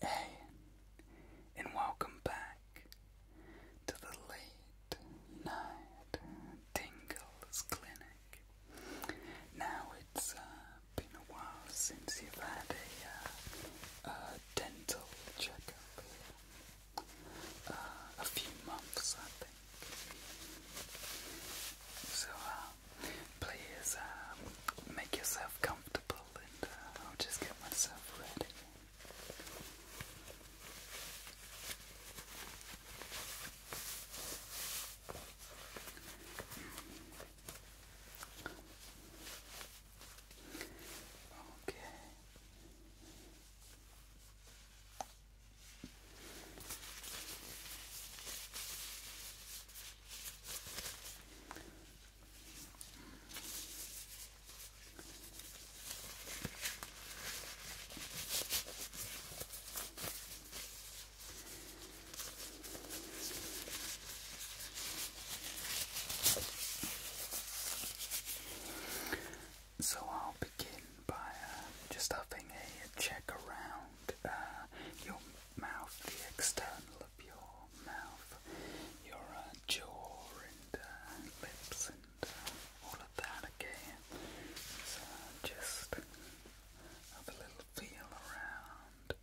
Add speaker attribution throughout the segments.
Speaker 1: Hey, and welcome back to the Late Night Tingles Clinic. Now it's uh, been a while since you've had a, uh, a dental checkup. Uh, a few months, I think. So, um, please um, make yourself comfortable and uh, I'll just get myself ready. Okay. So I'll begin by uh, just having a check around uh, your mouth, the external of your mouth, your uh, jaw and uh, lips and uh, all of that again. So just have a little feel around.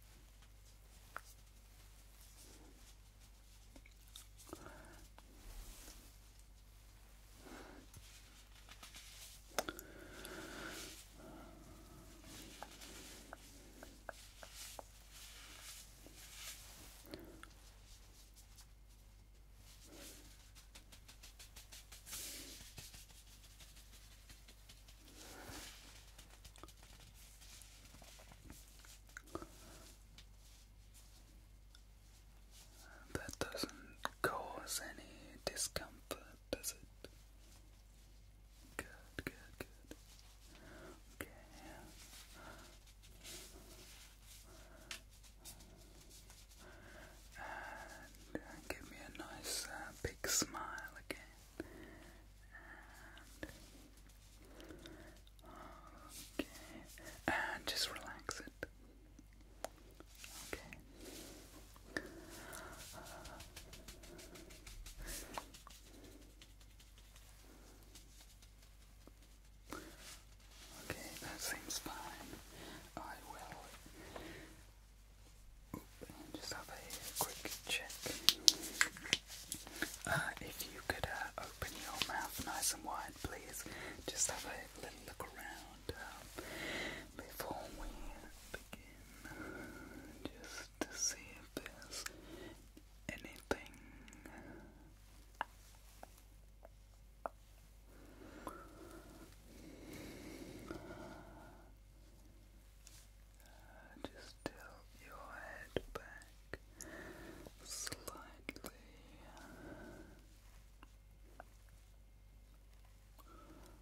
Speaker 1: That doesn't cause any discomfort, does it? Good, good, good. Okay. And uh, give me a nice uh, big smile again. okay. And just relax it. Okay. Okay, that seems fine. I will just have a quick check. Uh, if you could uh, open your mouth nice and wide, please. Just have a little look around um, before we begin. Just to see if there's anything just tilt your head back slightly.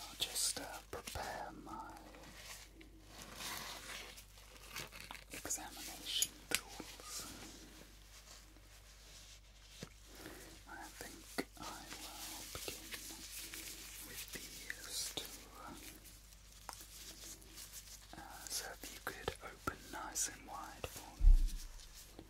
Speaker 1: I'll just uh, prepare my examination tools. I think I will begin with these uh, so if you could open nice and wide for me.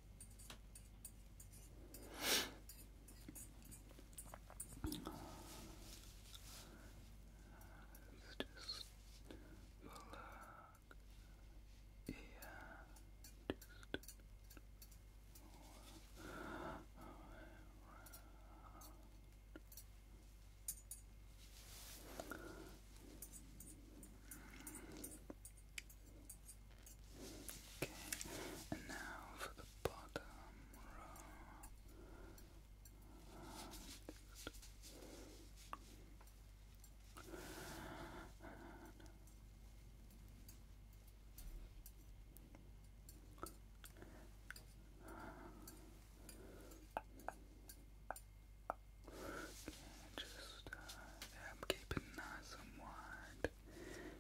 Speaker 1: Let's just relax. Yeah, just Relax. Okay, and now for the bottom just uh, yeah, nice and wide.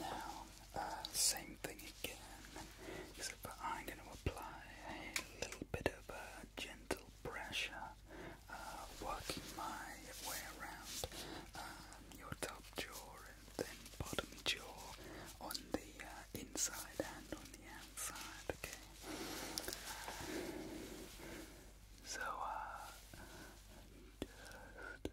Speaker 1: Now, uh, same thing again. Except I'm going to apply a little bit of a uh, gentle pressure, uh, working my way around um, your top jaw and then bottom jaw on the uh, inside and on the outside. Okay. So, just.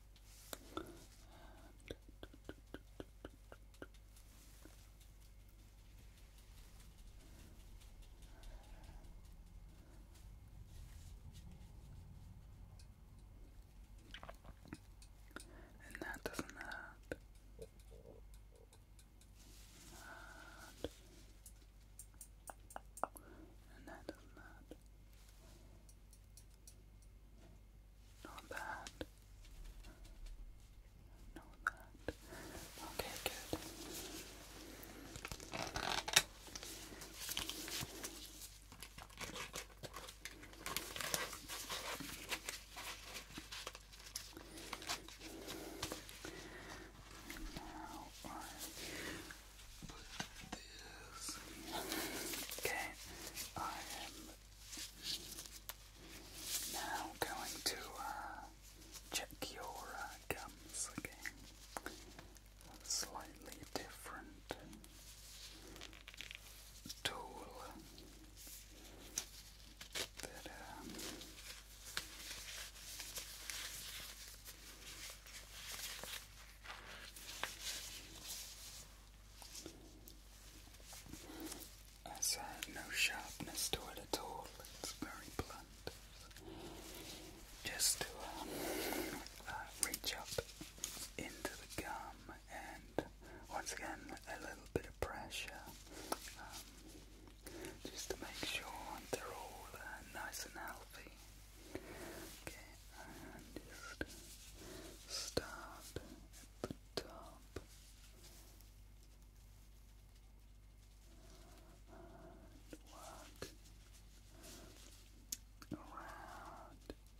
Speaker 1: And that doesn't hurt. And that doesn't hurt. Not bad. Not bad. Okay, good. Now I put this. Okay, I am now going to uh, check your uh, gums again. Slightly different tool um, has uh, no sharpness to it at all. It's very blunt. Just to um, uh, reach up into the gum, and once again, a little bit of pressure, um, just to make sure they're all uh, nice and healthy. Okay, and just start at the top. And work around. Okay, now the bottom.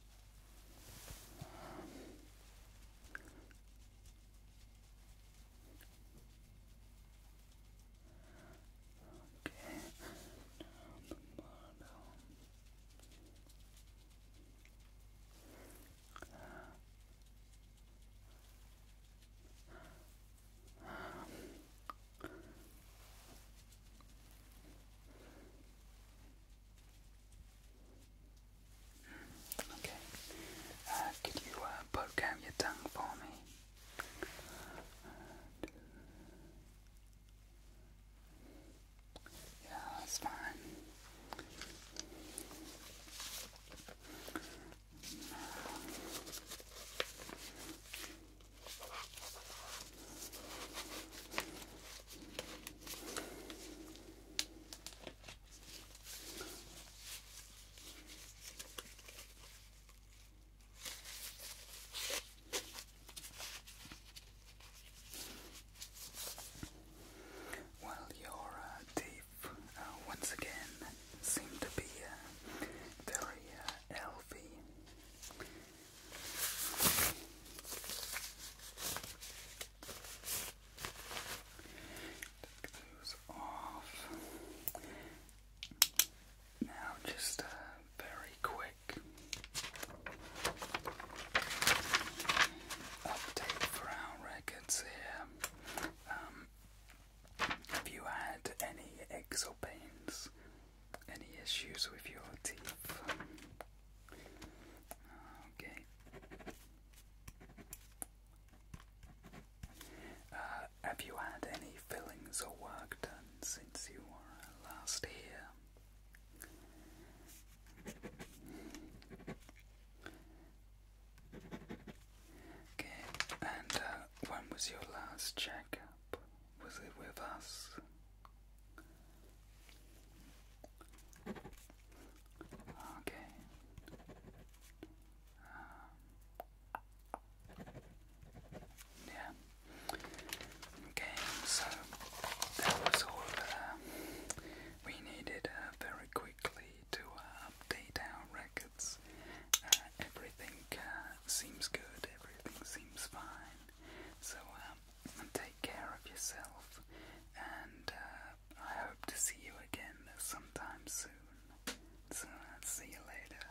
Speaker 1: Okay. Uh, could you uh, poke out your tongue for me? Yeah, that's fine. Well, your uh, uh, once again seem to be uh, very uh, healthy. Take those off. Now, just very quick update our records here. Um, have you had any aches or pains? Any issues with your teeth? Okay. Uh, have you had any fillings or work done since you were last here? Okay, and uh, when was your last checkup? Was it with us? Okay. Um, yeah. Okay, so that was all uh, we needed uh, very quickly to uh, update our records. Uh, everything uh, seems good, everything seems fine. So um, take care of yourself, and I hope to see you again sometime soon. So, see you later.